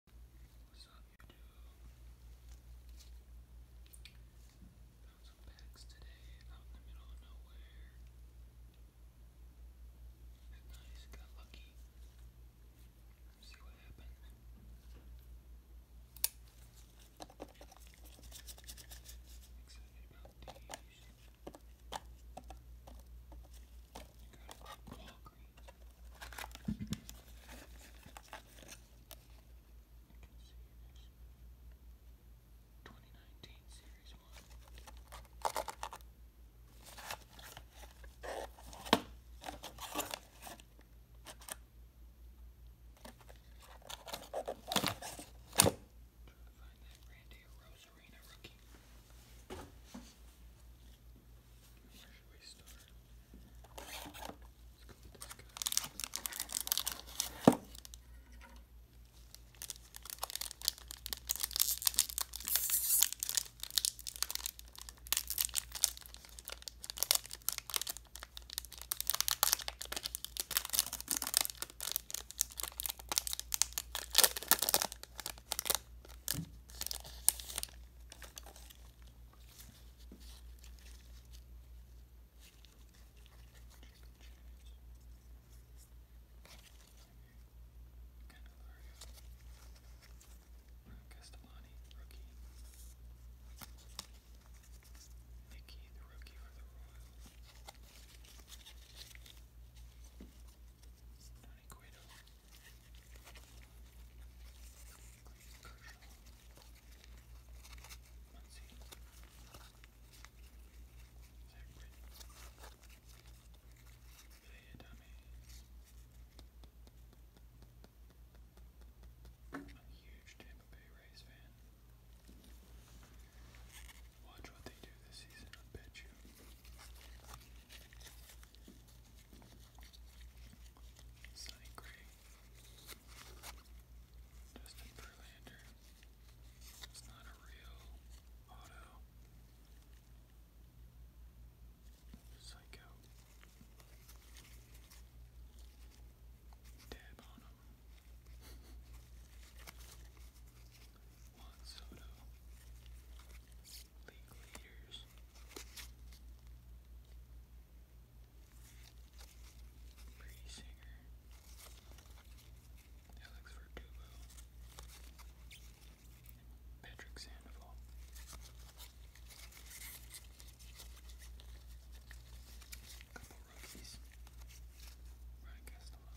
What's Found some packs today out in the middle of nowhere. nice, got lucky. see what happens. Excited about these. You got a Walgreens. 2019 Series 1. Find that Randy Rosarina rookie where should we start? Let's go with this guy. Castellani, rookie. Nikki, the rookie for the Royals. Donnie Guido. I'm a huge Tampa Bay Rays fan. Watch what they do this season, I bet you. Sonny Gray, Justin Verlander. It's not a real auto. Psycho. Dab on him. Juan Soto league leaders. Pretty singer. Alex Verdugo. Patrick Sandoval. A couple rookies. Ryan Castellani.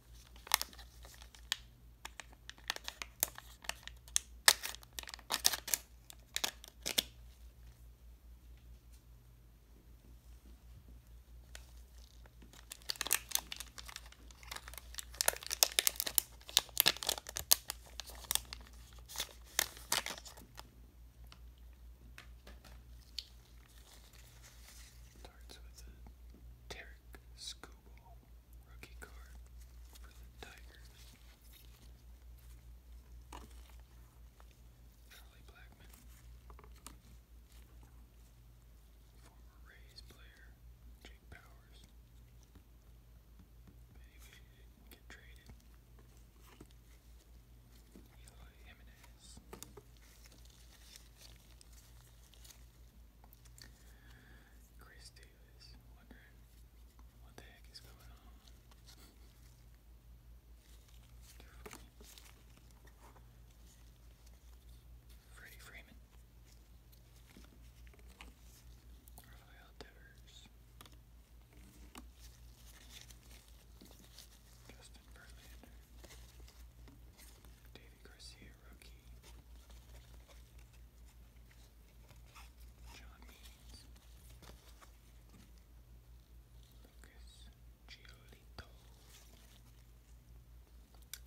Starts with a Tarek Scoop. Kubal, rookie card for the Tigers. Charlie Blackman, former Rays player, Jake Powers. Maybe get traded. Eli Jimenez. Chris Davis wondering what the heck is going on. Freddie Freeman. Rafael Devers. Justin Verlander. David David Garcia, rookie. John Lucas Giolito.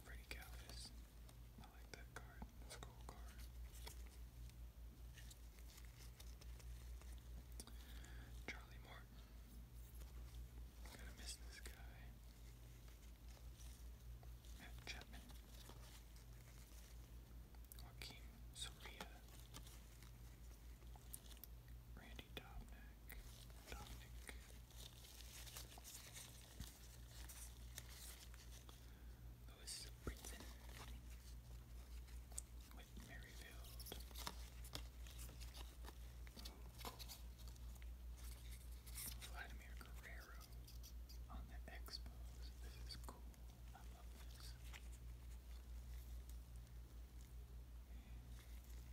Freddie Calvis. I like that card. That's a cool card. Charlie Morton. Gotta miss this guy. Matt Chapman, Joaquin Soria, Randy Dobnik, Dominic, Lewis Brinson, Whit Merrifield, Vladimir Guerrero, on the Expos. This is cool. I love this.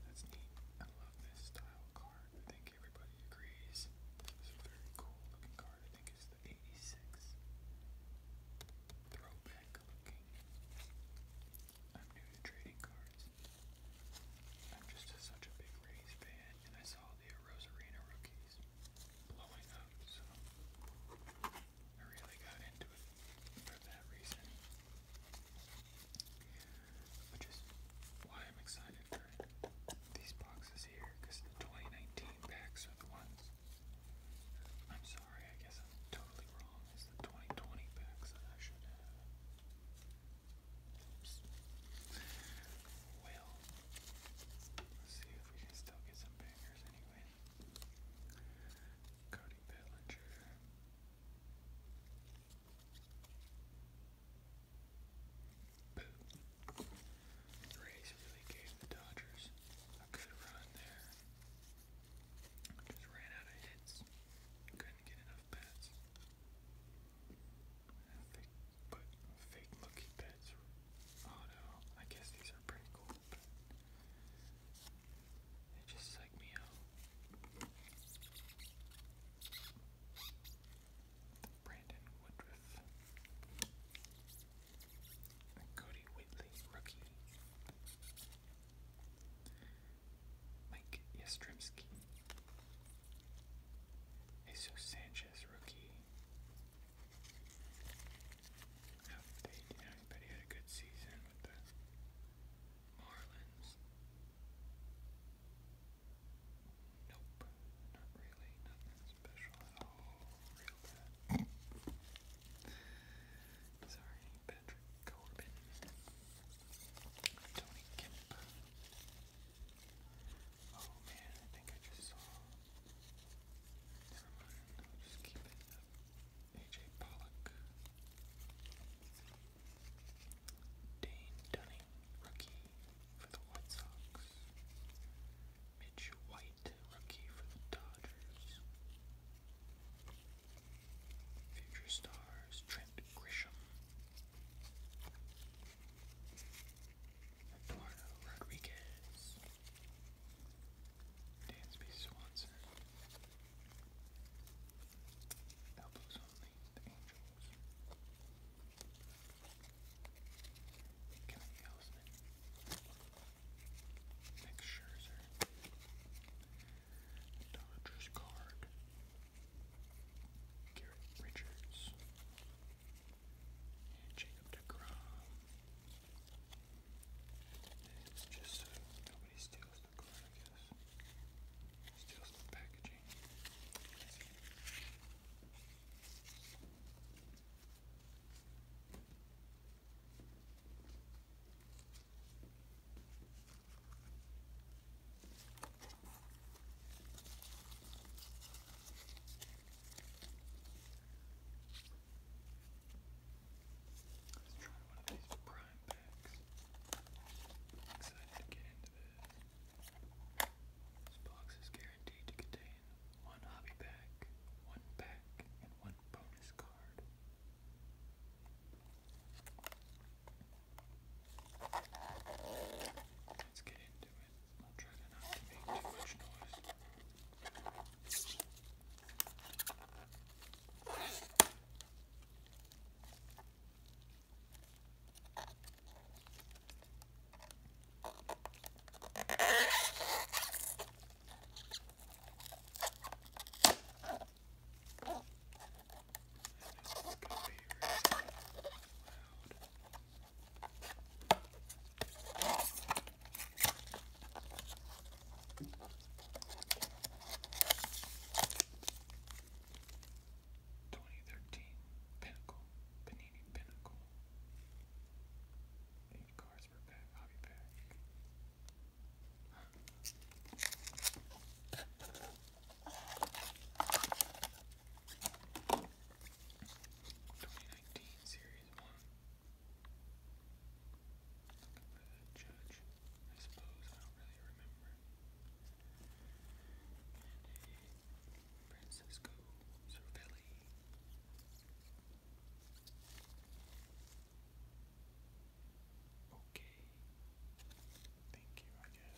That's neat. I love this style card. I think everybody agrees. This is a very cool looking card. I think it's the 86 throwback looking. I'm new to trading cards. I'm just such a big Rays fan, and I saw the Rosarina rookies blowing up, so I really got into it for that reason. Which is why I'm excited for these boxes here, because the 2019 packs are the ones. I'm sorry, I guess I'm totally wrong. It's the 2020 packs that I should have. Oops. Well, see if we can still get some bangers anyway. Cody Bellinger. Boo. The really gave the Dodgers a good run there. Just ran out of hits. Couldn't get enough bats. Fake, but fake looking pets. Oh no, I guess these are pretty cool, but they just psych me out. Brandon Woodruff. Cody Whitley, rookie. Mike Yastrzemski. Jesus Sanchez. Sanchez rookie. How you had a good season with the Marlins. Nope, not really, nothing special at all. Real bad. Sorry, Patrick Corbin. Tony Kemp. Oh man, I think I just saw. Never mind, I'll just keep it up. AJ Pollock. Dane Dunning, rookie for the White Sox. Mitch White, rookie for the Dodgers. Future stars Trent Grisham, Eduardo Rodriguez, Dansby Swanson, Elbows Only, The Angels, Kelly Elsman, Nick Scherzer, Dodgers Card, Garrett Richards, and Jacob DeGrom. It's just uh, nobody steals the card, I guess. Steals the packaging. Let's try one of these prime packs. I'm excited to get into this. This box is guaranteed to contain one hobby pack, one pack, and one bonus card. Let's get into it. I'll try to not to make too much noise. This is going to be really loud. Twenty thirteen Pinnacle Panini Pinnacle. Eight cards per pack, hobby pack. Huh. 2019 Series 1. judge. I suppose I don't really remember. Francisco Cervelli. Okay. Thank you, I guess.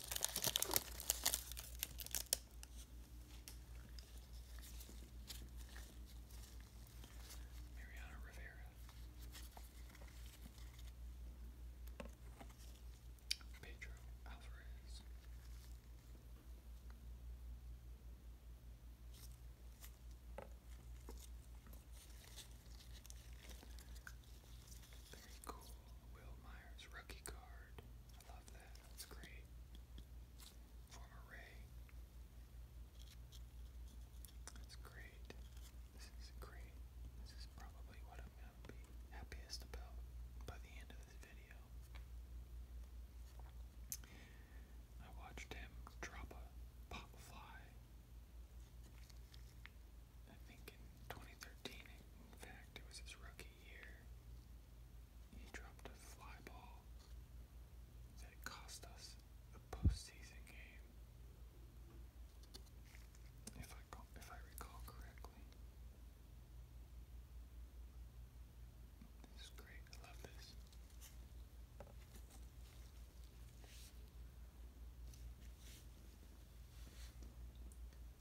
Mariana Rivera. Pedro Alvarez. Very cool. Will Myers rookie card. I love that. That's great. Former Ray. That's great. This is great. This is probably what I'm going to be happiest about by the end of this video. I watched him drop a pop fly I think in 2013, in fact, it was his rookie year, he dropped a fly ball that cost us a postseason game. If I if I recall correctly, this is great. I love this.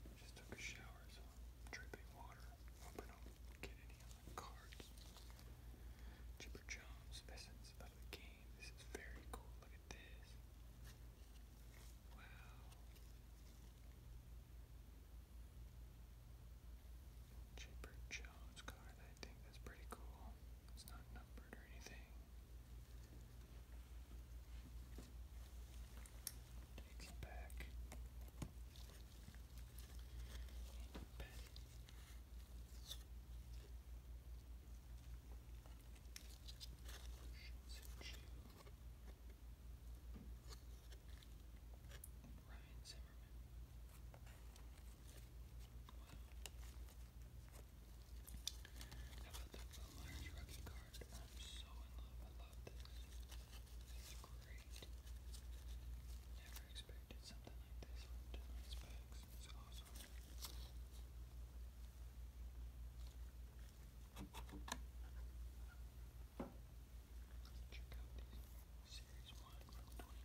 I'm dripping water. Chipper Jones, Essence of the Game. This is very cool. Look at this. Wow. Chipper Jones card. I think that's pretty cool. It's not numbered or anything. Take it back. And pat it. Ryan Zimmerman about the Miner's Rookie card? I'm so in love. I love this. It's great. Never expected something like this from tonight's packs. It's awesome. Check out these series one from 2019.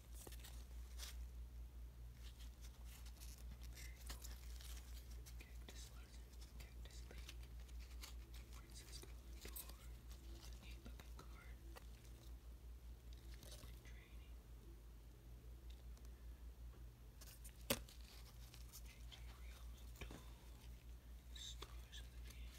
Cactus Larson, Cactus Lake, Francisco Lindor, a neat looking card, spring training, JJ Real Mundo, Stars of the Game,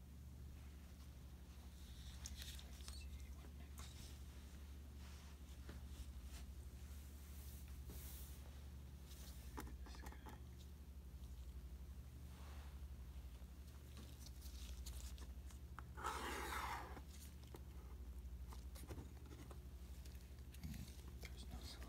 Let's see what next. This guy. There's no solution.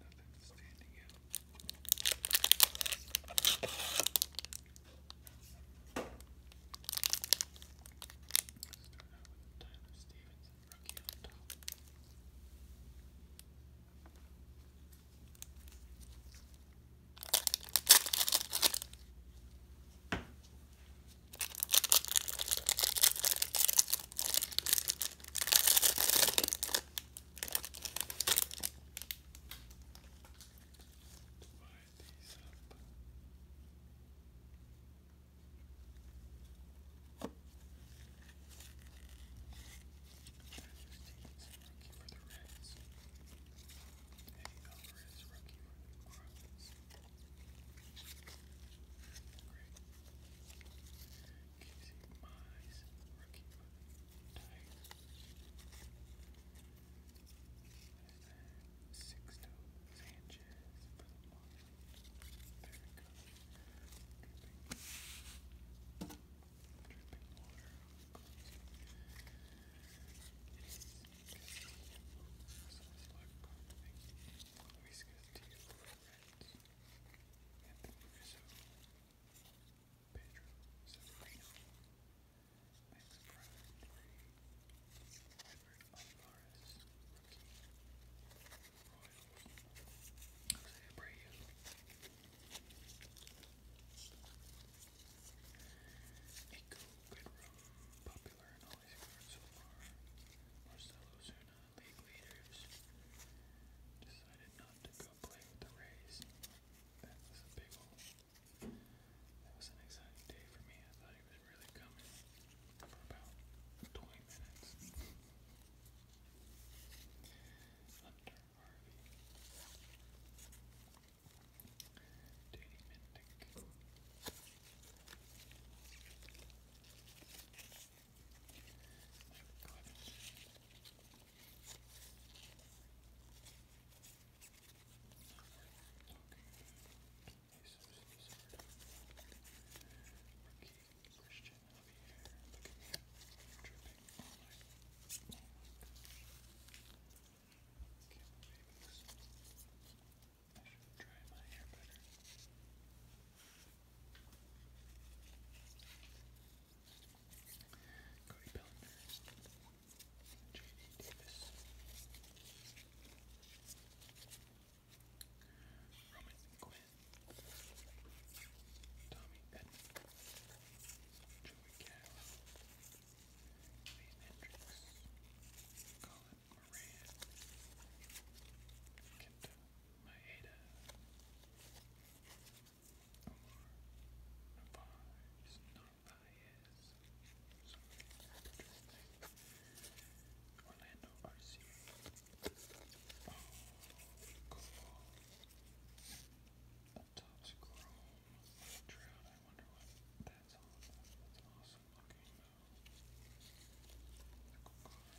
Nothing standing out. Start out with Tyler Stevenson, rookie on top. All Divide these up. Justine's rookie for the Reds. Eddie Alvarez, rookie for the Marlins. Great. Casey Mize, rookie for the Tigers. Sixto Sanchez for the Marlins. There we go. Dripping, dripping water. Luis Castillo for the Reds. Anthony Rizzo Pedro Severino, Max Edward Alvarez, rookie, Royals, Jose Abreu, popular in all these cards so far, Marcelo Zuna, league leaders decided not to go play with the Rays. That was a big old. That was an exciting day for me. I thought he was really coming for about 20 minutes. Hunter Harvey. Danny Mindick. Christian over here. Look at that. Dripping. Oh my. Oh my gosh. Can't believe this. I should try my hair better. Cody Bellinghurst, J.D. Davis, Roman Quinn, Tommy Edmond, Joey Gallo, Lee Hendricks, Colin Moran, Kenta Maeda, Vibes, not Orlando RC. Oh, cool. A Topps Chrome I wonder what that's all about. That's an awesome looking though.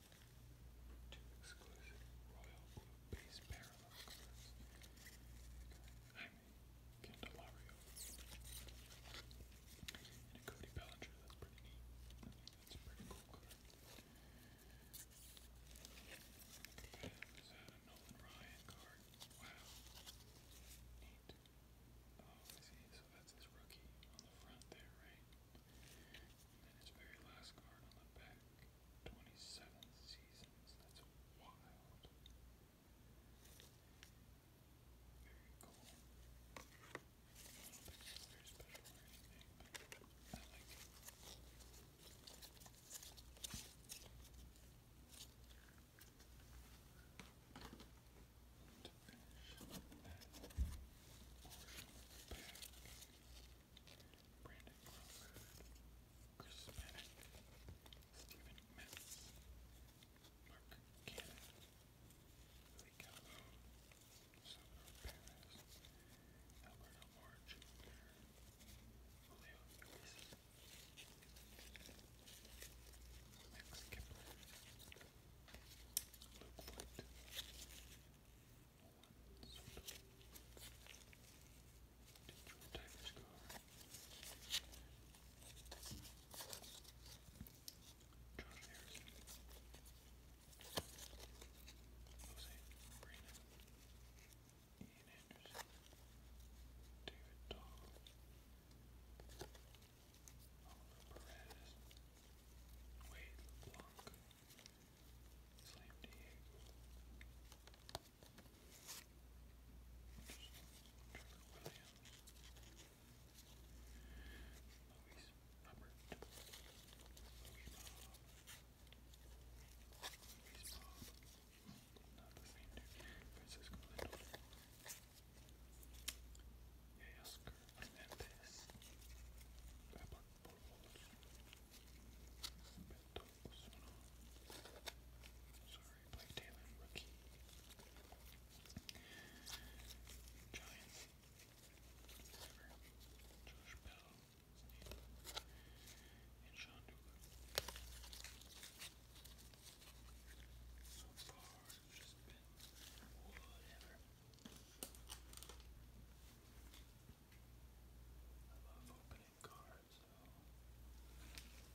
Two exclusive royal blue base parallel cards. I'm Candelario. And Cody Bellinger, that's pretty neat. that's a pretty cool card. Is that a Nolan Ryan card? Wow. Neat. Oh, I see. So that's his rookie on the front there, right? And then very last card on the back, 27 seasons. That's wild. Very cool. very special or anything, I like it. Brandon Crawford, Chris Maddock, Stephen Metz, Mark Cannon, Lee Calvo, Salvador Perez, Alberto Moore Jr., Julio Luis, Max Kepler, Luke White, Different type of scar. Josh Harrison. Jose Brina. Ian Anderson. David Dahl. Oliver Perez. Wade LeBlanc. Same to you. Trevor Williams. Louis Hubbard. Louis Bob. Louis Bob. Not the same dude. Francisco Lindor. Yasker Hernandez. Pepper. Beto Osuna. Sorry, Blake Taylor, rookie. Giants. Whatever. Josh Bell. And Sean Dugan. So far, it's just been whatever. I'm opening cards. So. Already opened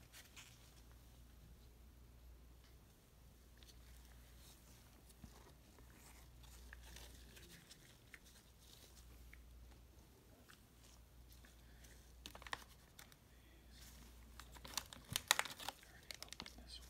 this one.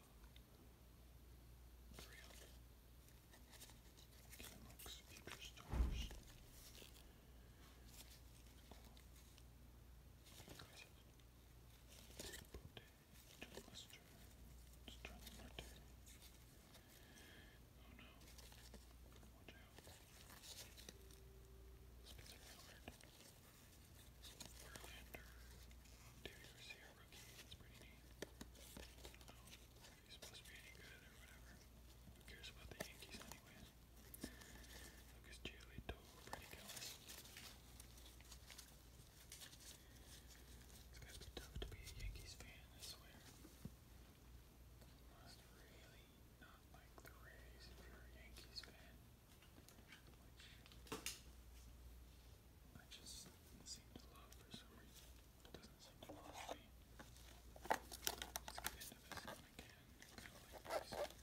Three of them. Camelx Future Oh no. Watch out. Spencer Howard. Verlander. Interior Sierra rookie. It's pretty neat. I don't know if he's supposed to be any good or whatever. Who cares about the Yankees anyways? Lucas Giolito, Brady Gillis. It's gotta be tough to be a Yankees fan, I swear. You must really not like the Rays if you're a Yankees fan. I just seem to love for some reason. doesn't seem to bother me. Let's get into this again. Kind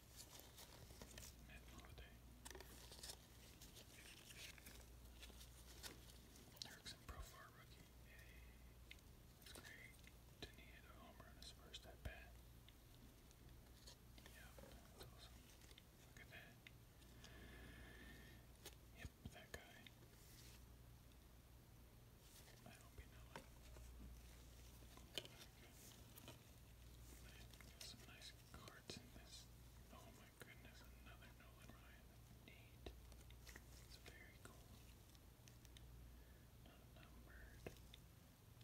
Matt Erickson Profar rookie. Yay. That's great. Didn't he hit a homer in his first at bat? Yep, that's awesome. Look at that. Yep, that guy. I hope you know some nice cards in this. Oh my goodness, another Nolan Ryan eight. It's very cool. Not numbered.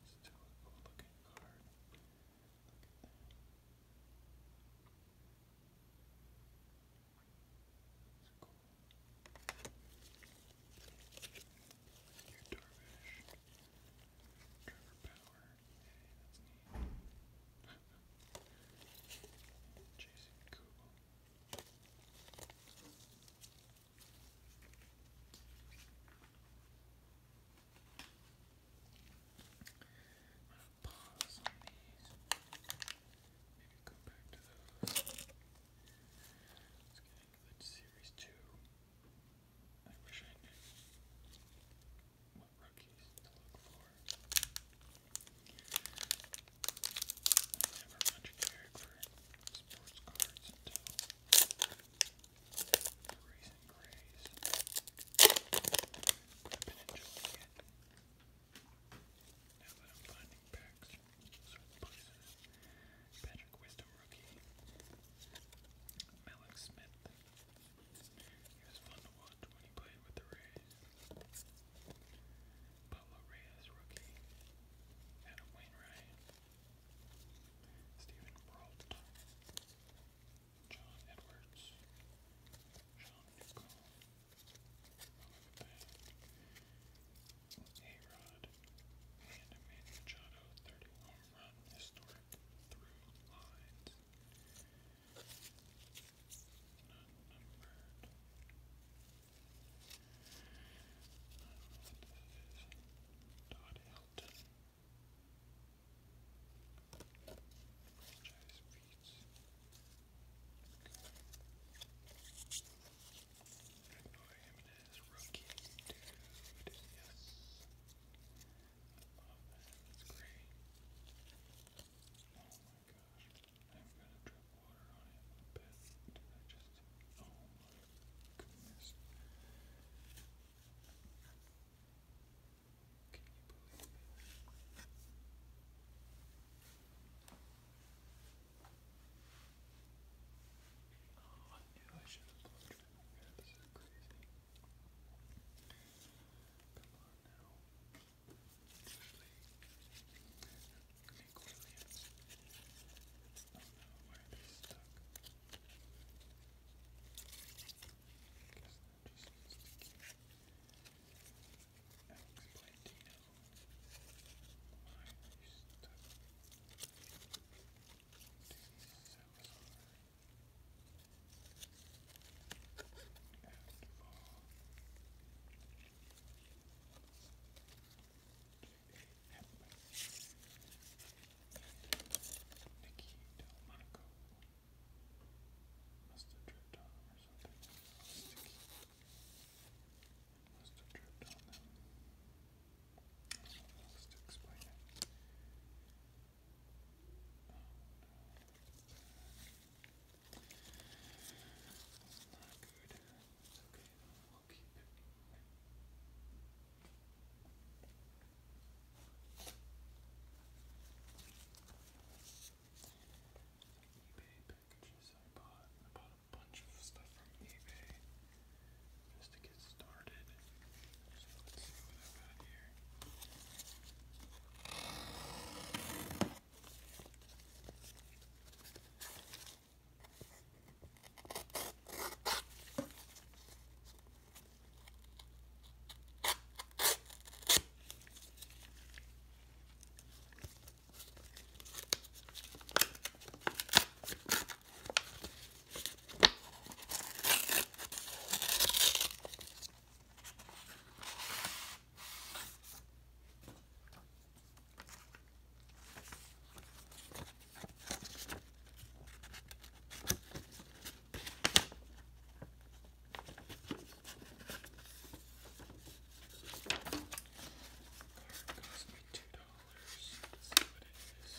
Still a cool looking card. It's cool. Your Darvish. Trevor Power. Hey, that's neat. Chasing Google. I'm gonna pause on these. Maybe go back to those. Let's get into the series two. I wish I knew what rookies to look for. never much cared for sports cards until Grays and Grays. been enjoying it. Now that I'm finding packs from certain places, Patrick Wisdom rookie, Malik Smith he was fun to watch when he played with the Rays. Pablo Reyes, rookie. Adam Wainwright. Stephen Brault. John Edwards. Sean Newcomb. Oh, look at 31 from historic through lines. Not I don't know what this is. Todd Hilton. Franchise beats. Okay. Him and his rookie dude. Yes love Oh my gosh. I'm gonna drip water on it a bit. oh goodness. Can you believe it? Oh, I knew I should have blown it. this is crazy. Come on now. Usually, Nick Williams. Oh no, why are they stuck? I guess that just needs to keep Alex Plantino. Why are you stuck? Dude, that was hard. Nikki Delmonico must have tripped on them Must have tripped on them. I don't it. That's not good. It's okay we'll keep it. eBay packages I bought. I bought a bunch of stuff from eBay just to get started. So let's see what I've got here. Cost me two dollars. Let's see what it is.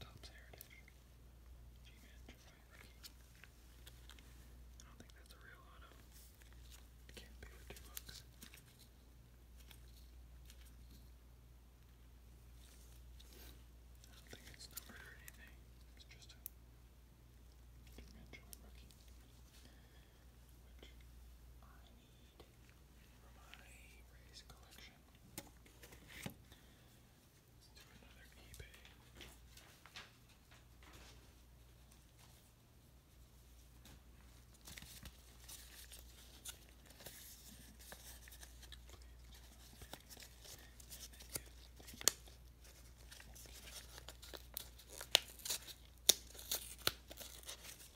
Got a Heritage. G-Man rookie. I don't think that's a real auto. can't be for two bucks. I don't think it's numbered or anything. It's just a G-Man Detroit rookie. Which I need for my race collection. Let's do another eBay. Please do not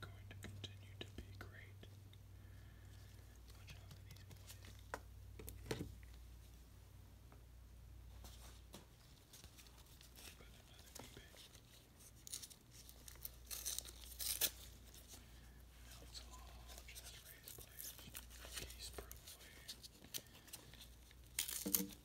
going to continue to be great. Watch out for these Now it's all just raised players. Case probably.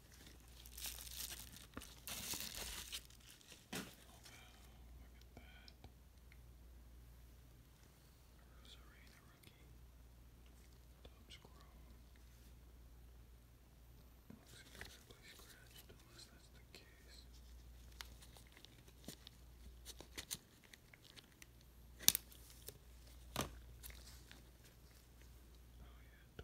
Oh, look at that. Rosary the Rookie. Top Squirrel. Looks incredibly scratched, unless that's the case. Oh yeah,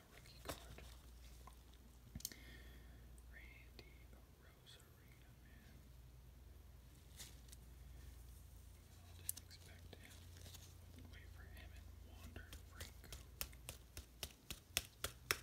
a rookie card. Randy Rosarina, man. I didn't expect him. wait for him and Wander Franco. Wander Franco.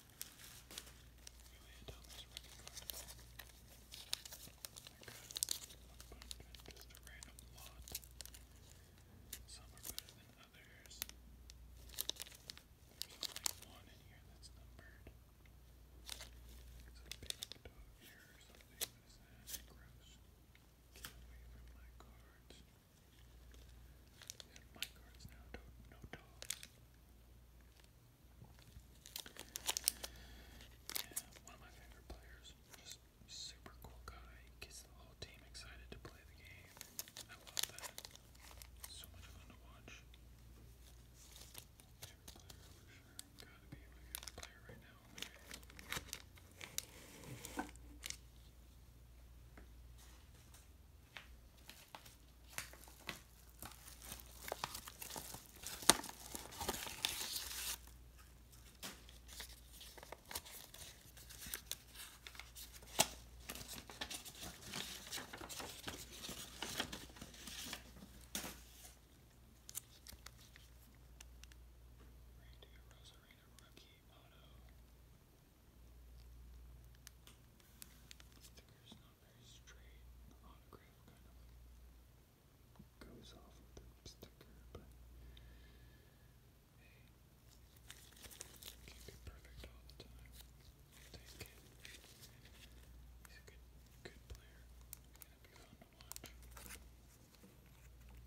Really down this rookie card. I got just a random lot. Some are better than others. There's only one in here that's numbered. It's a big dog here or something. What is that? Gross. Get away from my cards. These are my cards now. Don't, no dogs. Don't one of my favorite players. Just super cool guy. Gets the whole team excited to play the game. I love that. So much fun to watch. Favorite player for sure. Gotta be my favorite player right now. Rosarina rookie auto stickers a very straight autograph, kind of like goes off with the sticker, but hey, can't be perfect all the time. I'll take it. He's a good, good player. It's gonna be fun to watch. Alright.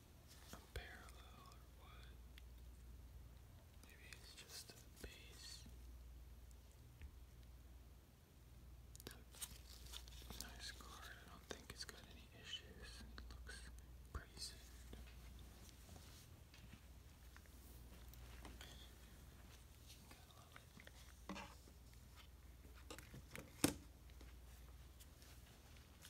a parallel or what? Maybe it's just a base. Nice card. I don't think it's got any issues. looks pretty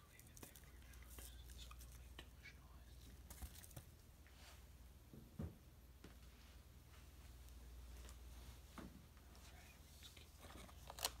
leave it there for now, just so I don't make too much noise. Alright, let's keep going. Okay,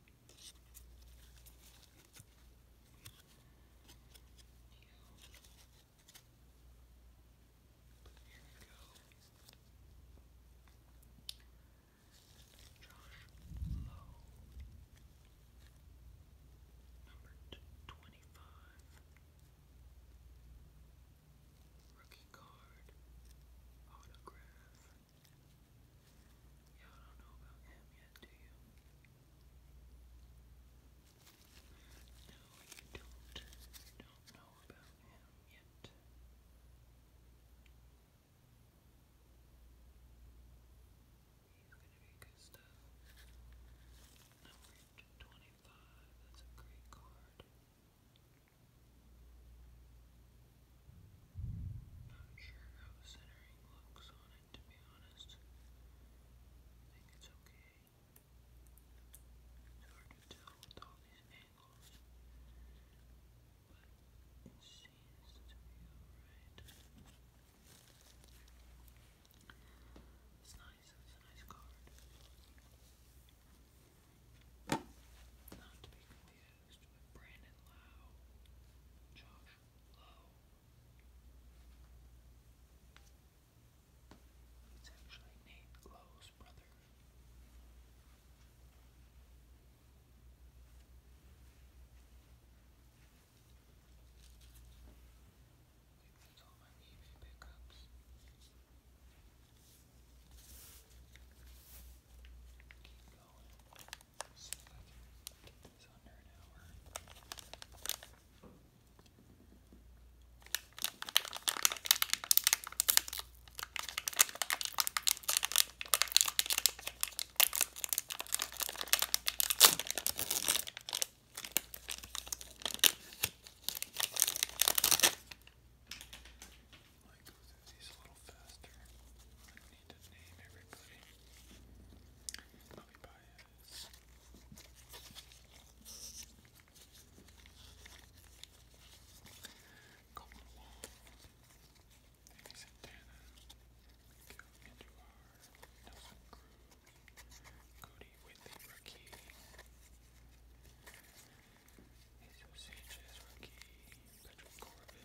Rookie card, autograph. Yeah, I don't know about him yet, do you? No, you don't. Don't know about him yet. He's gonna be good stuff. Number twenty-five. That's a great card. Not sure how centering looks on fine, to be honest. I think it's okay. It's hard to tell with all these angles, but it seems to be alright. It's nice, it's a nice card. Not to be confused with Brandon Lau, Josh Lowe, it's actually Nate Lowe's brother. Okay, that's all my Keep going. So it's under an hour. I might go through these a little faster. I need to Bobby Baez. Coleman Wong. Danny Santana. Miguel Andujar. Nelson Cruz. Cody Whitley, rookie. Jesus Sanchez, rookie. Patrick Corbin.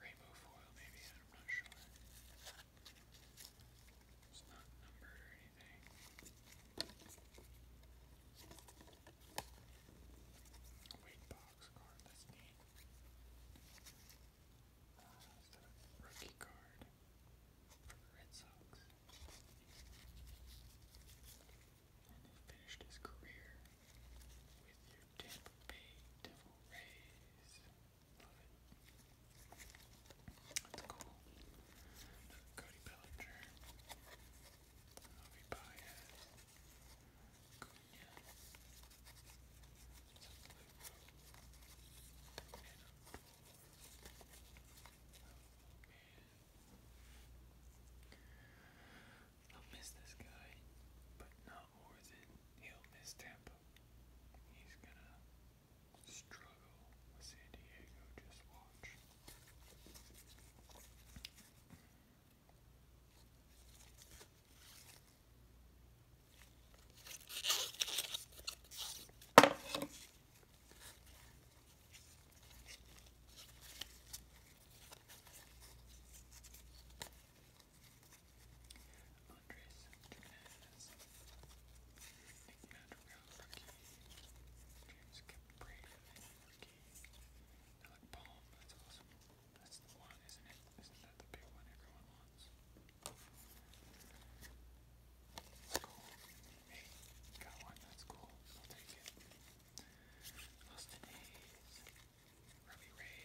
rainbow foil maybe, I'm not sure. It's not numbered or anything. Wait box card, that's neat. Uh, rookie card from the Red Sox and then finished his career with your Tampa Bay Devil Rays. Love it. That's cool. Cody Bellinger, Ovi Baez, I'll miss this guy, but not more than he'll miss Tampa. He's gonna struggle with San Diego, just watch. Andres Jimenez, Nick Madrigal, rookie, James Caprera, rookie, Alec Palm, that's awesome. That's the one, isn't it? Isn't that the big one everyone wants? That's cool. Hey, got one, that's cool. I'll take it. Austin Hayes, Robbie Ray.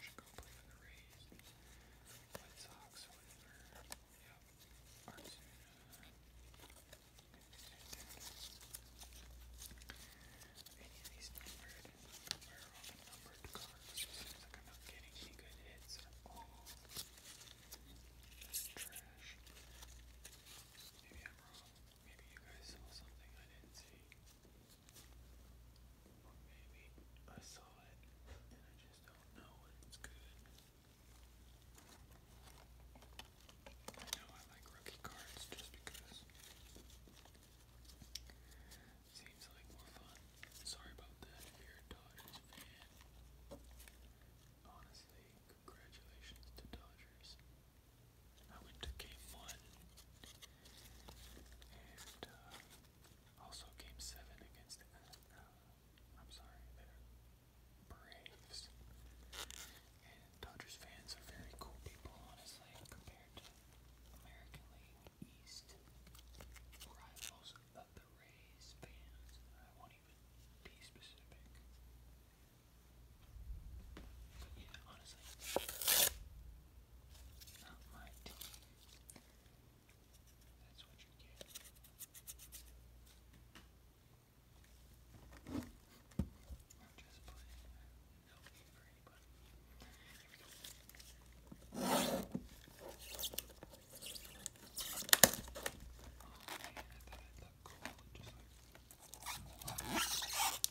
Should go play for the Rays. White Sox whatever. Yep. Artsuna. Any of these numbered or all the numbered cards. seems like I'm not getting any good hits at all. trash. Maybe I'm wrong. Maybe you guys saw something I didn't see. Or maybe I saw it and I just don't know it's good. I know I like rookie cards just because seems like more fun. Sorry about that if you're a Dodgers fan. Honestly, congratulations to Dodgers. I went to game one and uh, also game seven against the, uh, uh, I'm sorry, Braves. And Dodgers fans are very cool people, honestly, compared to American League East rivals of the Rays fans. I won't even be specific. yeah, honestly, not my team. That's what you get. I'm just playing. No need for anybody. Here we go. Oh man, I thought I'd look cool just like other YouTubers.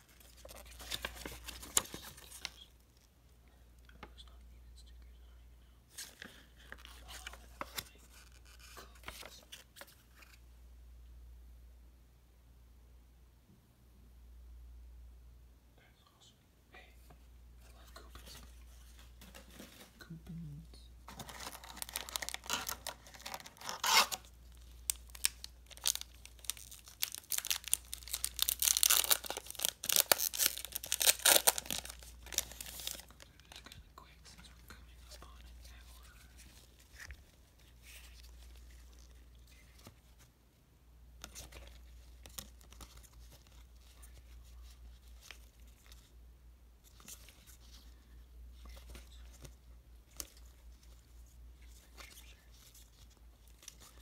awesome. Hey, I love coupons. Coupons quick since we're coming up on an hour. Sure, sure.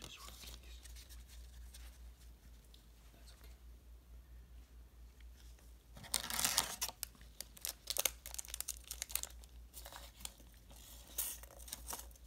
Just run these. That's okay.